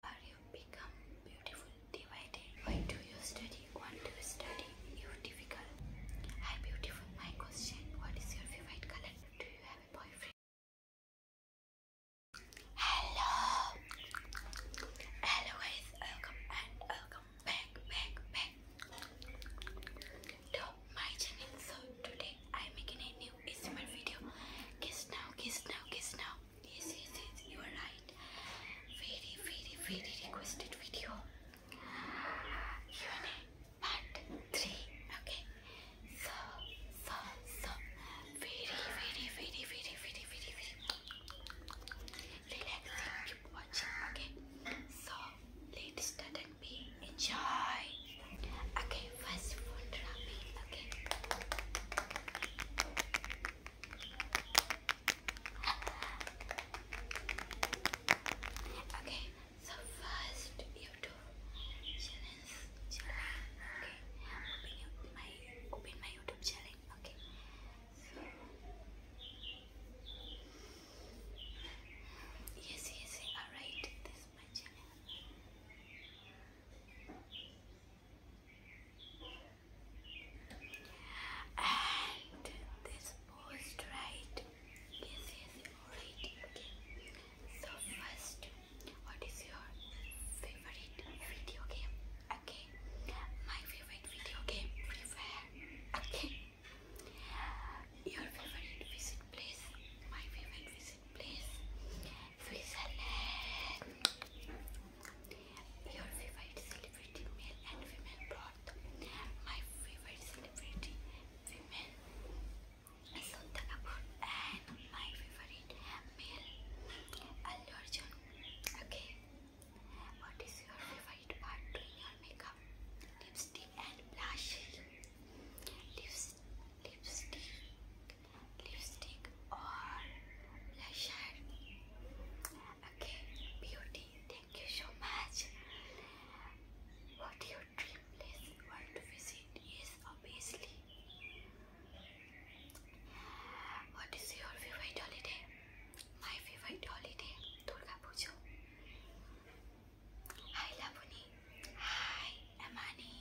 Or you become beautiful, divided why do you study, want to study, you difficult. Hi beautiful, my question, what is your favorite color? Do you have a boyfriend? Hello! Hello guys, welcome and welcome back, back, back to my channel. So today I'm making a new ASMR video. Kiss now, kiss now, kiss now yes, yes, yes, you are right. Very, very, very requested video. Q&A 3, okay? So, so, so, very, very, very, very, very, very, very relaxing. Keep watching, okay? So, let's be enjoy. Okay, first of all, Okay. So first you do challenge, challenge. Okay. Open my open my YouTube channel. Okay. yes, yes. Alright, this is my channel. And this post, right? Yes, yes, alright. Okay. So, first, what is your favorite video game? Okay. My favorite video game, Free Okay. Your favorite visit place? My favorite visit place Switzerland. Your favorite celebrity male and female brought my favorite celebrity female Sutta Kapoor and my favorite male Allu Okay. What is your favorite part doing your makeup? Lipstick and blush. Lips, lipstick lipstick or blusher okay beauty thank you so much what your dream place you want to visit is obviously what is your favorite holiday my favorite holiday durga puja hi labuni hi amani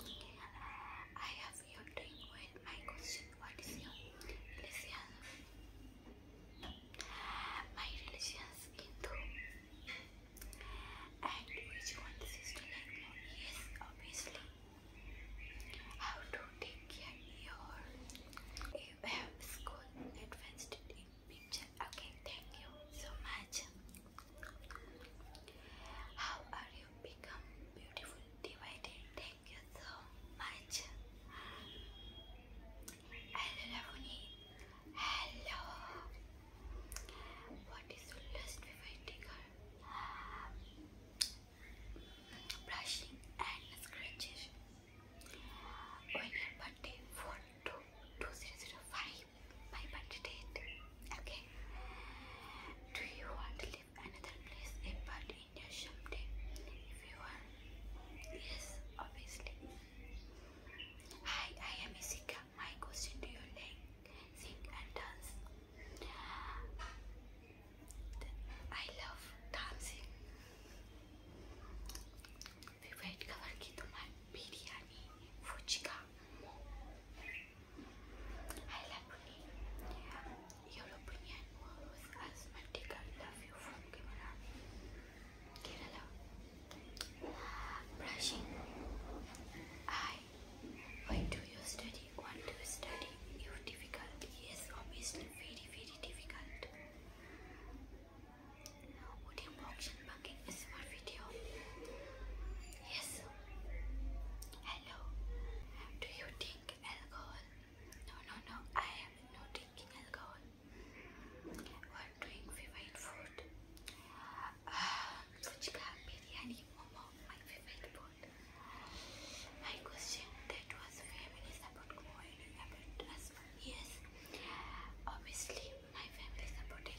I have your drink with my question. What is your religion? My religion is Hindu. And which one is to like Yes, obviously. How to take care your you have school advanced in picture. Okay, thank you so much. How are you become beautiful divided? Thank you so much. Hello Ravani. Hello. What is your last favorite trigger? Brushing and scratches. When your birthday 4 My birthday date. Okay. Do you want to live another place apart in your someday? If you want, yes, obviously. Hi, I am Isika. My question to you like sing and dance. I love dancing. Wait cover की तुम्हारी biryani fuchka I love you. Your opinion was asthmatic. I love you from Kerala. Kerala. Brushing. I. Why do you study? Want to study? You difficult? Yes, obviously very very difficult. Audio boxing bugging is for video. Yes. Hello. Do you drink alcohol? No, no, no. I am not drinking alcohol. What doing favorite food? Uh, fuchka, biryani, momo. My favorite food. My question that was family support going about as well. Yes. Obviously, my family supported.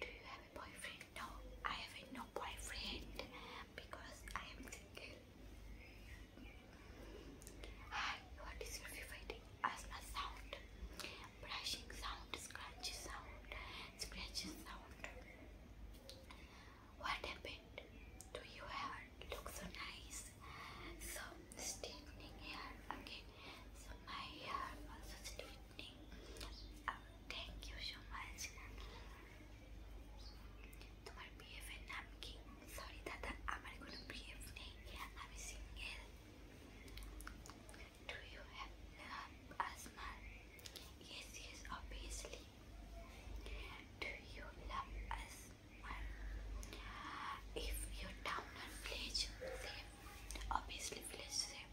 Do you have a boyfriend? No, I have a no boyfriend because I am single. Hi, what is your favorite asthma sound? Brushing sound, scratchy sound, scratchy sound. What happened to your hair? Looks so nice. So straightening hair Okay. So my hair also straight. Thank you so much তোমার বিএফের নাম কি sorry দাদা আমার কোনো BF নেই আমি single do you have love Asma yes yes obviously do you love Asma if your town and village same obviously village same